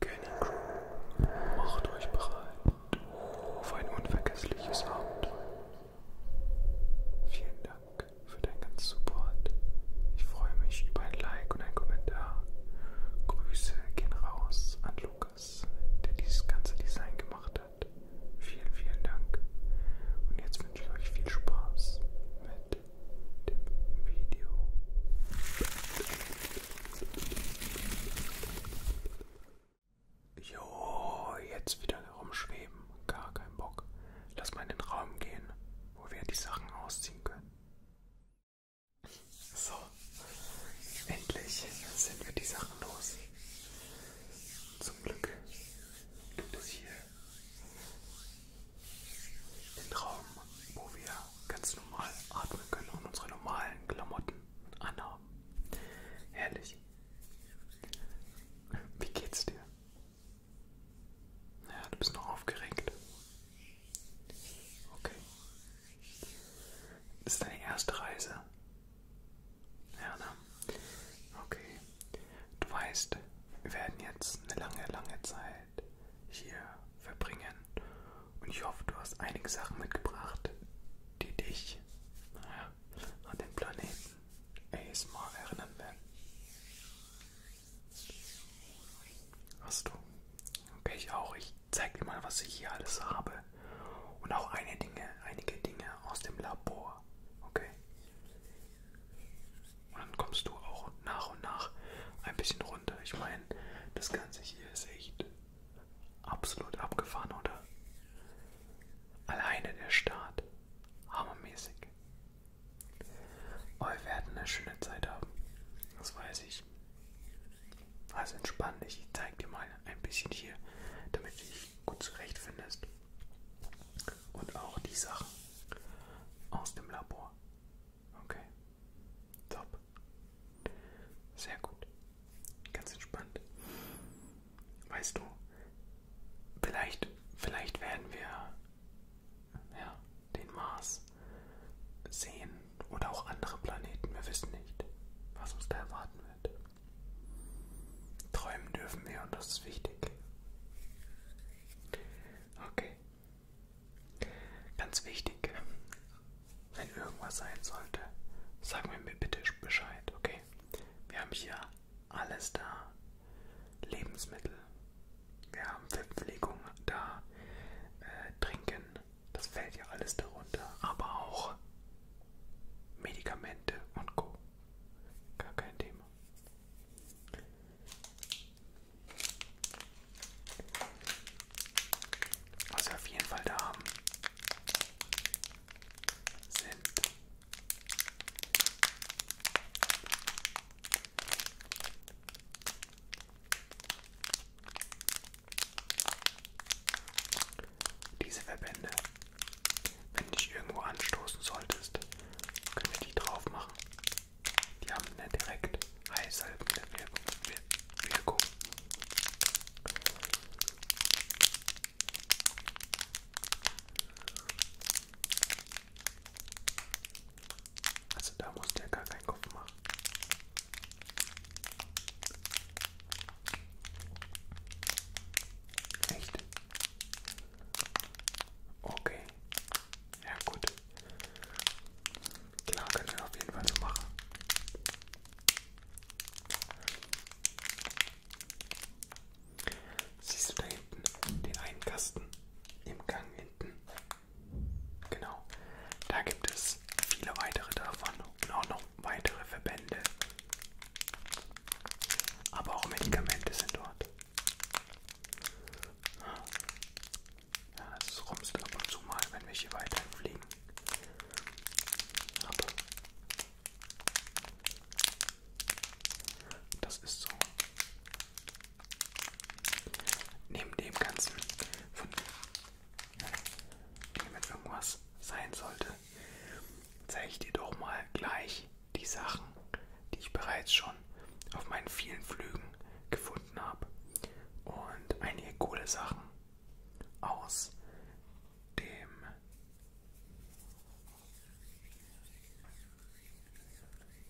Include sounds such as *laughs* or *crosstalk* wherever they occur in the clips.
Canyon Crew, macht euch bereit auf ein unvergessliches Abenteuer. Vielen Dank für deinen ganzen Support. Ich freue mich über ein Like und einen Kommentar. Grüße gehen raus an Lukas, der dieses ganze Design gemacht hat hat. Vielen, vielen Dank. Und jetzt wünsche ich euch viel Spaß mit dem Video. Jo, jetzt wieder rumschweben. Gar kein Bock. Lass mal in den Raum gehen, wo wir die Sachen ausziehen können. So, endlich sind wir die Sachen los. Zum Glück gibt es hier den Raum, wo wir ganz normal atmen können und unsere normalen Klamotten anhaben. Herrlich. Wie geht's dir? Naja, du bist noch aufgeregt. Okay. Das ist deine erste Reise ja, ne? Okay. Du weißt, wir werden jetzt eine lange, lange Zeit hier verbringen. Und ich hoffe, du hast einige Sachen mitgebracht, die dich naja, an den Planeten ASMR erinnern werden. Hast du? Okay, ich auch. Ich zeig dir mal, was ich hier alles habe und auch eine Dinge, einige Dinge aus dem Labor. Okay? Und dann kommst du auch nach und nach ein bisschen runter. Ich meine, das Ganze hier ist echt absolut abgefahren, oder? Alleine der Start. Hammermäßig. Oh, wir werden eine schöne Zeit haben. Das weiß ich. Also entspann dich. Ich zeig dir mal ein bisschen hier, damit ich gut zurechtfindest. Und auch die Sachen aus dem Labor. Okay. Top. Sehr gut. Ganz entspannt. Weißt du, vielleicht, vielleicht werden wir ja, den Mars sehen oder auch andere Planeten. Wir wissen nicht, was uns da erwarten wird. Träumen dürfen wir und das ist wichtig. Okay. Ganz wichtig, wenn irgendwas sein sollte, sag mir bitte Bescheid, okay? Wir haben hier alles da. Lebensmittel. Wir haben Verpflegung da. Äh, Trinken. Das fällt ja alles darunter. Aber auch Medikamente und Co. Gar kein Thema. Was wir auf jeden Fall da haben, sind diese Verbände. Wenn du dich irgendwo anstoßen solltest, können wir die drauf machen. Die haben eine direkt heißhaltende Wirkung. Also da musst du ja gar keinen Kopf machen. Echt? Okay. Ja gut. Klar können wir auf jeden Fall so machen. Siehst du da hinten den einen Kasten im Gang hinten? Genau. Da gibt es viele weitere davon und auch noch noch weitere Verbände. Aber auch Medikamente sind dort. Ja, das rumst ab und zu mal, wenn wir hier weiterhin fliegen. Aber das ist so. Neben dem Ganzen, von, wenn irgendwas sein sollte, zeige ich dir doch mal gleich die Sachen, die ich bereits schon auf meinen vielen Flügen gefunden habe. Und einige coole Sachen aus dem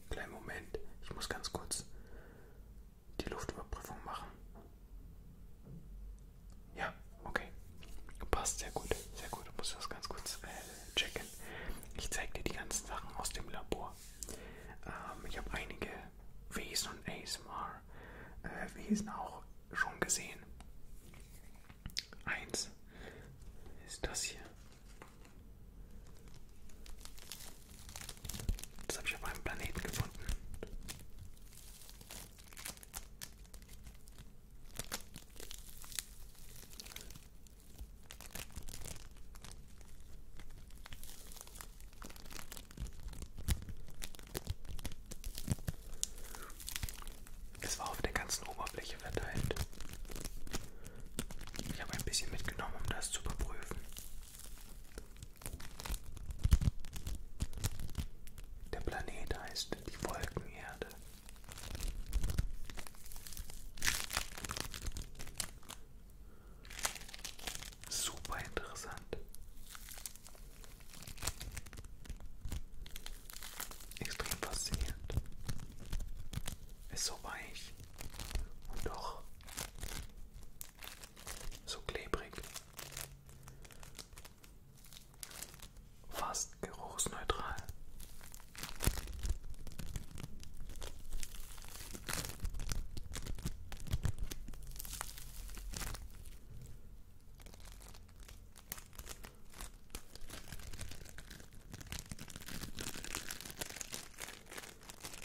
kleinen Moment. Ich muss ganz kurz die Luftüberprüfung machen. Ja, okay. Passt sehr gut, sehr gut. Du musst das ganz kurz äh, checken. Ich zeige dir die ganzen Sachen aus dem Labor. Ähm, ich habe einige Wesen und ASMR-Wesen äh, auch schon gesehen. Eins ist das hier. Das habe ich auf einem Planeten gefunden. Es war auf der ganzen Oberfläche verteilt. Ich habe ein bisschen mitgenommen, um das zu überprüfen. Der Planet heißt die Wolkenerde. Super interessant. Extrem faszinierend. Ist so weich und doch so klebrig. Fast geruchsneutral.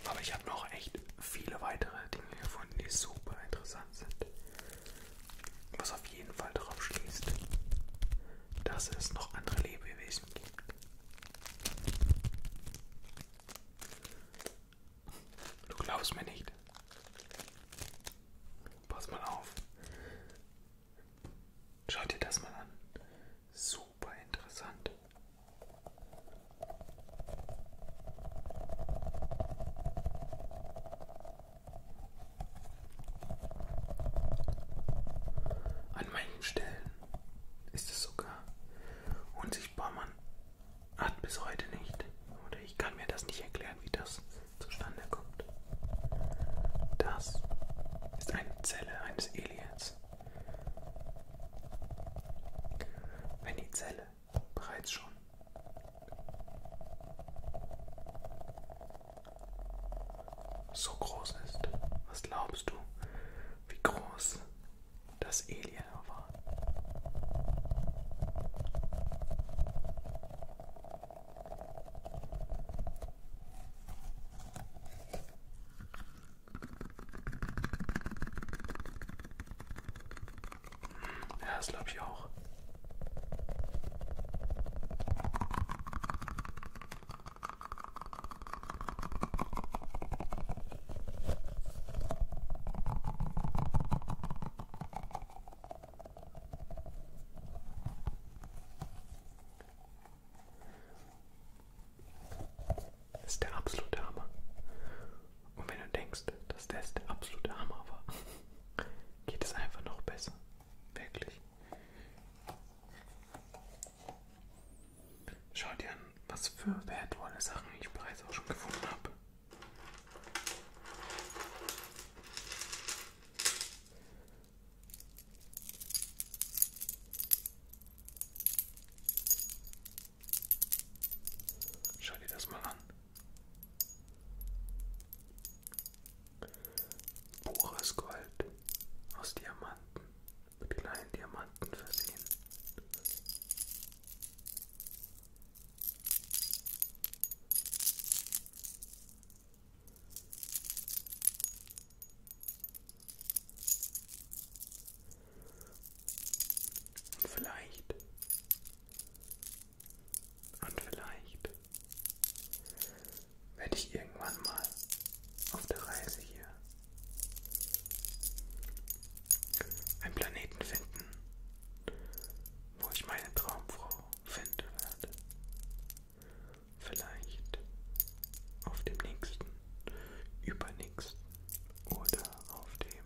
Aber ich habe noch echt viele weitere Dinge gefunden, die super interessant sind. Was auf jeden Fall darauf schließt, dass es noch andere Lebewesen gibt. Du glaubst mir nicht. Pass mal auf. Schau dir das mal an. Super interessant. An manchen Stellen ist es sogar unsichtbar, man hat bis heute nicht. Oder ich kann mir das nicht erklären, wie das zustande kommt. Das ist eine Zelle eines Aliens. Wenn die Zelle bereits schon so groß ist. Was glaubst du, wie groß das Alien war? Ja, das glaube ich auch. Das ist der absolute Hammer. Und wenn du denkst, dass das der absolute Hammer war, *laughs* geht es einfach noch besser. Wirklich. Schau dir an, was für wertvolle Sachen ich bereits auch schon gefunden habe. Schau dir das mal an. Pures Gold aus Diamanten, mit kleinen Diamanten versehen. Und vielleicht, und vielleicht werde ich irgendwann mal auf der Reise hier einen Planeten finden, wo ich meine Traumfrau finden werde. Vielleicht auf dem nächsten, übernächsten oder auf dem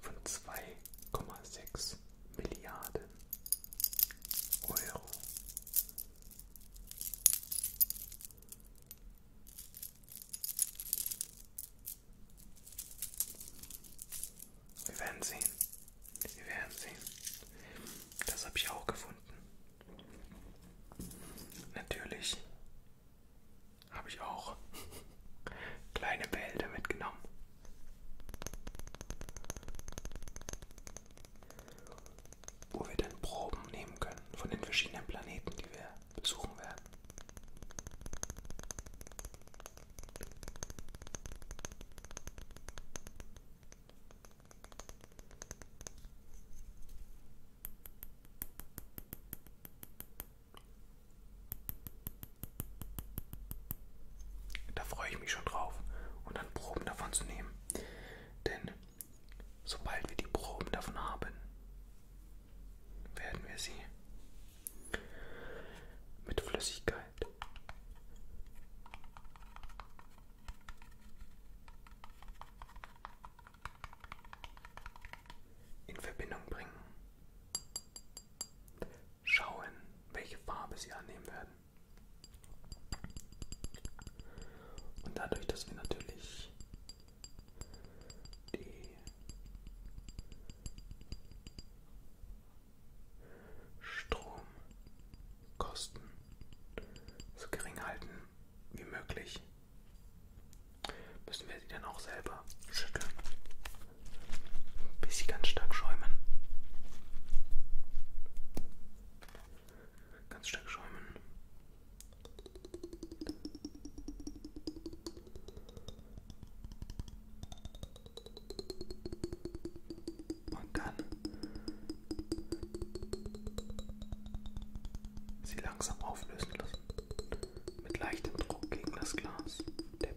von 2,6 Milliarden Euro. Wir werden sehen. Wir werden sehen. Das habe ich auch gefunden. Natürlich habe ich auch *laughs* kleine Behälter mitgenommen. Wo wir dann Proben nehmen können von den verschiedenen Planeten, die wir besuchen werden. Da freue ich mich schon drauf und dann Proben davon zu nehmen. Denn sobald wir die Proben davon haben, werden wir sie mit Flüssigkeit in Verbindung bringen schauen, welche Farbe sie annehmen werden. Und dadurch, dass wir natürlich die Stromkosten so gering halten wie möglich, müssen wir sie dann auch selber schütteln bis sie ganz stark schäumen. Ganz stark schäumen. Und dann sie langsam auflösen lassen. Mit leichtem Druck gegen das Glas. Tipp.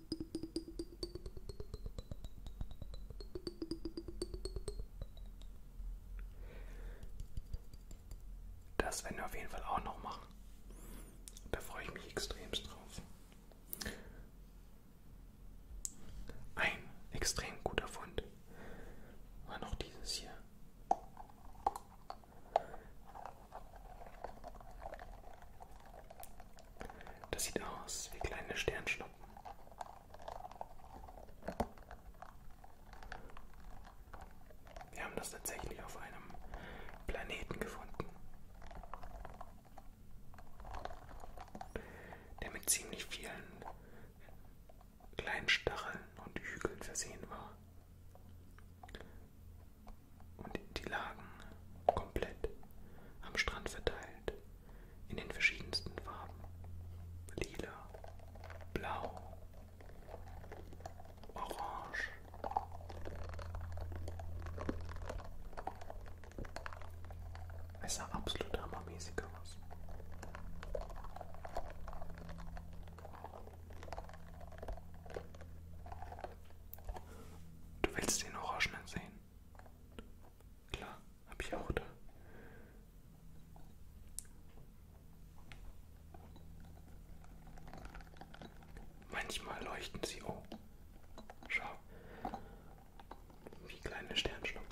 Das werden wir auf jeden Fall auch noch machen. Da freue ich mich extremst drauf. Ein extrem guter Fund war noch dieses hier. Das sieht aus wie kleine Sternschnuppen. Wir haben das tatsächlich auf einem Planeten gefunden, der mit ziemlich vielen kleinen Stacheln und Hügeln versehen war. Und die lagen komplett am Strand verteilt in den verschiedensten Farben. Lila, blau, orange. Es sah absolut hammermäßig aus. Du willst den Orangenen sehen? Klar, habe ich auch da. Manchmal leuchten sie oh. Schau. Wie kleine Sternschnuppen.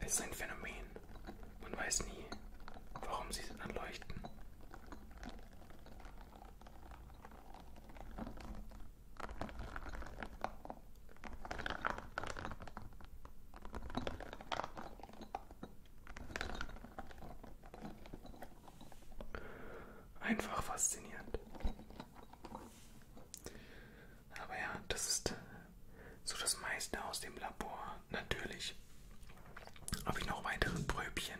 Es ist ein Phänomen. Man weiß nie, warum sie dann leuchten. Einfach faszinierend. Aber ja, das ist so das meiste aus dem Labor natürlich. Habe ich noch weitere Bröbchen?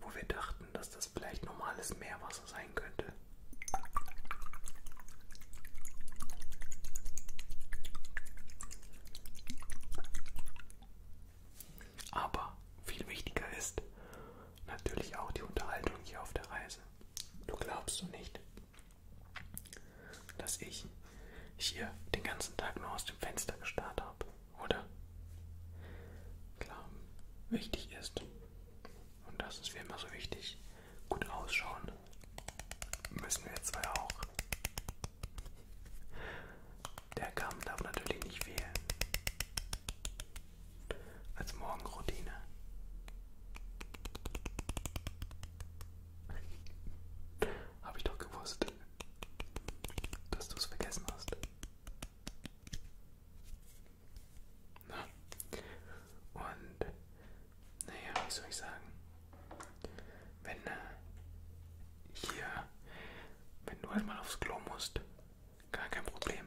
Wo wir dachten, dass das vielleicht normales Meerwasser sein könnte. Aber viel wichtiger ist natürlich auch die Unterhaltung hier auf der Reise. Du glaubst du nicht, dass ich hier den ganzen Tag nur aus dem Fenster gestarrt habe, oder? Klar, wichtig ist, und das ist wie immer so wichtig, gut ausschauen, Müssen wir zwei auch. Der Kamm darf natürlich nicht fehlen. Als Morgenroutine. Habe ich doch gewusst, dass du es vergessen hast. Und naja, wie soll ich sagen, wenn äh, hier, wenn du halt mal aufs Klo musst, gar kein Problem.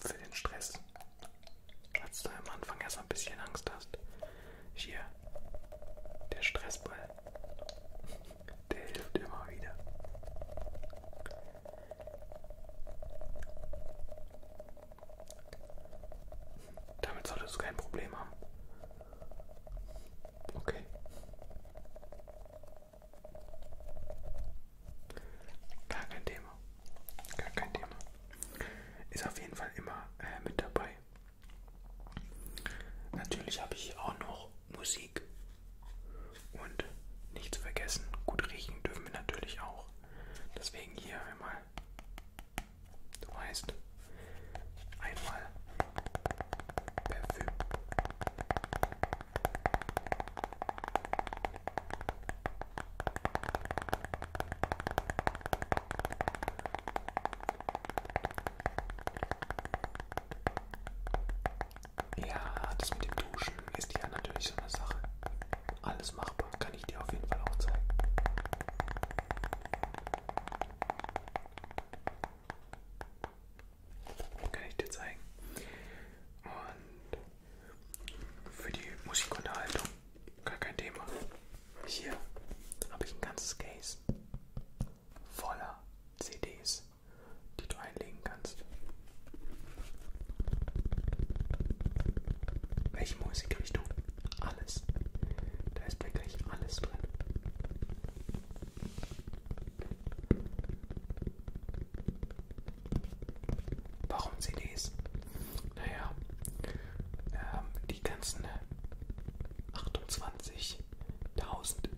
Für den Stress, als du am Anfang erst ein bisschen Angst hast. Hier, der Stressball, *laughs* der hilft immer wieder. Damit solltest du kein Problem haben. Okay. Gar kein Thema. Gar kein Thema. Ist auf jeden Fall immer äh, mit dabei. Natürlich habe ich auch noch Musik. Und nichts vergessen, gut riechen dürfen wir natürlich auch. Deswegen hier einmal Du weißt, einmal Parfüm. Ja, das mit dem Duschen ist ja natürlich so eine Sache. Alles machbar, kann ich dir auf jeden Fall auch zeigen. Kann ich dir zeigen. Und für die Musikunterhaltung gar kein Thema. Hier habe ich ein ganzes Case voller CDs, die du einlegen kannst. Welche Musikrichtung alles. Da ist wirklich alles drin. Warum CDs? Naja, ähm, die ganzen 28.000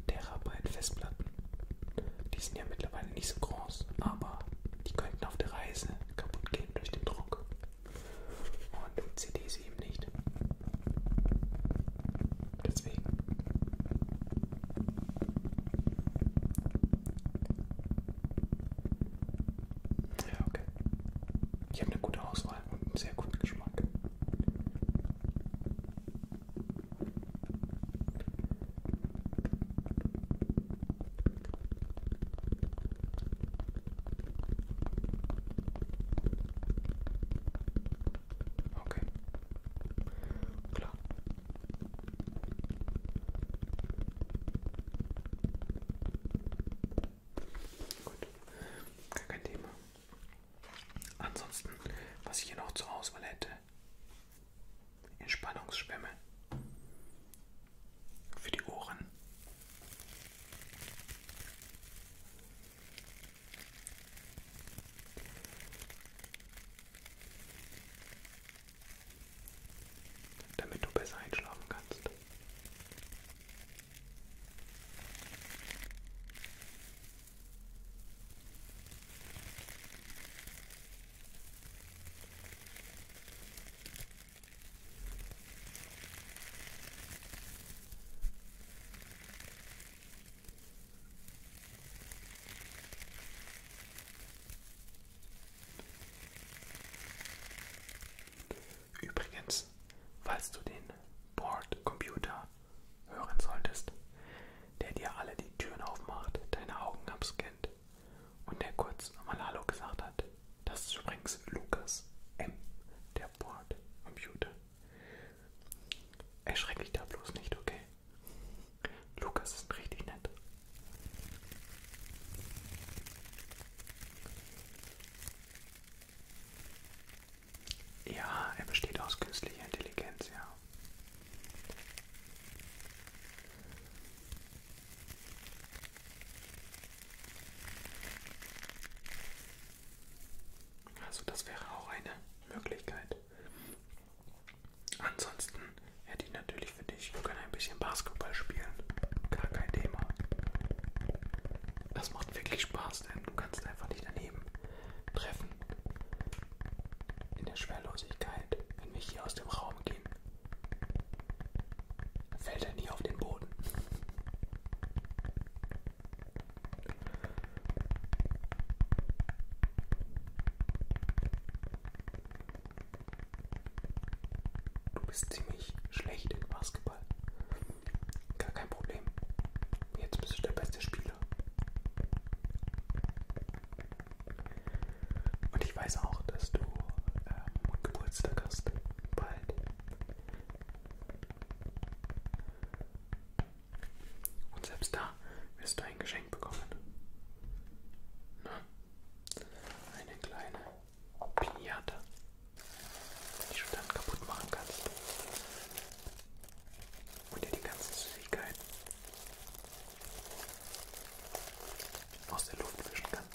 Terabyte Festplatten, die sind ja mittlerweile nicht so groß, aber die könnten auf der Reise kaputt gehen durch den Druck und CDs eben nicht. Deswegen. Ja, okay. Ich habe eine gute Auswahl und einen sehr guten Geschmack. Okay. Klar. Gut. Gar kein Thema. Ansonsten, was ich hier noch zur Auswahl hätte. Entspannungsschwämme für die Ohren. Damit du besser einschlafen kannst. Übrigens, falls du den Bordcomputer hören solltest, der dir alle die Türen aufmacht, deine Augen abscannt und der kurz nochmal Hallo gesagt hat. Das ist übrigens Lukas M., der Bordcomputer. Erschreck dich da bloß nicht, okay? Lukas ist richtig nett. Ja, er besteht aus künstlicher Intelligenz, ja. Also das wäre auch eine Möglichkeit. Ansonsten hätte ich natürlich für dich, wir können ein bisschen Basketball spielen. Gar kein Thema. Das macht wirklich Spaß, denn du kannst einfach nicht daneben treffen. In der Schwerlosigkeit, wenn wir hier aus dem Raum gehen, Fällt er nie auf den Boden. Du bist ziemlich schlecht im Basketball. Gar kein Problem. Jetzt bist du der beste Spieler. Und ich weiß auch, dass du ähm, Geburtstag hast. Bald. Und selbst da wirst du ein Geschenk bekommen. Na? Eine kleine Pinata, die du dann kaputt machen kannst. Und dir die ganzen Süßigkeiten aus der Luft fischen kannst.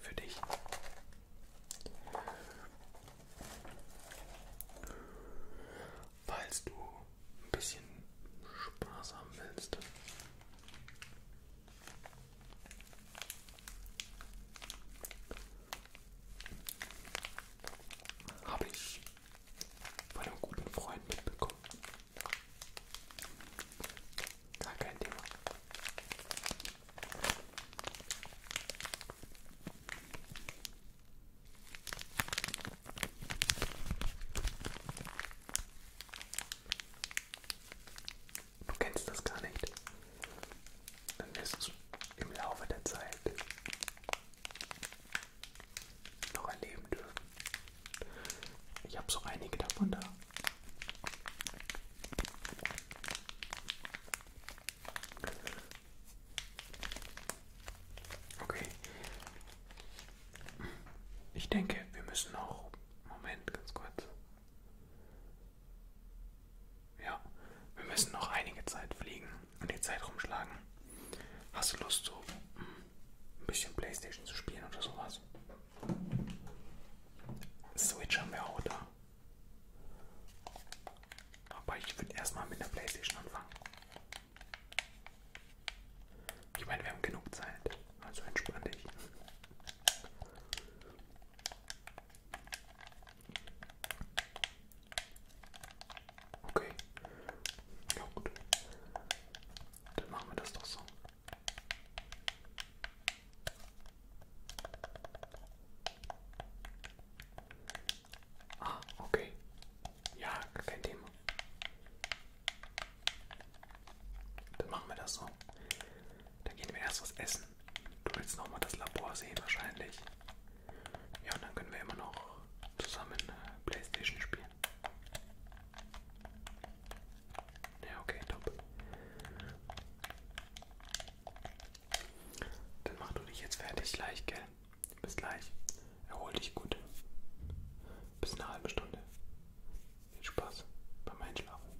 Für dich. Falls du ein bisschen Spaß haben willst. Habe ich von einem guten Freund mitbekommen. Gar kein Thema. Du kennst das gar nicht. Dann wirst du im Laufe der Zeit noch erleben dürfen. Ich habe so einige davon da. Okay. Ich denke, wir müssen auch. Moment, ganz kurz. Ja, wir müssen noch einige Zeit fliegen und die Zeit rumschlagen. Hast du Lust, so hm, ein bisschen Playstation zu spielen oder sowas? Switch haben wir auch da. Aber ich würde erstmal mit der Playstation anfangen. Ich meine, wir haben genug Zeit. Also entspann dich. Okay. Ja gut. Dann machen wir das doch so. Ah, okay. Ja, kein Thema. Dann machen wir das so. Dann gehen wir erst was essen. Du willst nochmal das Labor sehen wahrscheinlich. Ja, und dann können wir immer noch zusammen äh, Playstation spielen. Ja, okay, top. Dann mach du dich jetzt fertig gleich, gell? Bis gleich. Erhol dich gut. Bis eine halbe Stunde. Viel Spaß beim Einschlafen.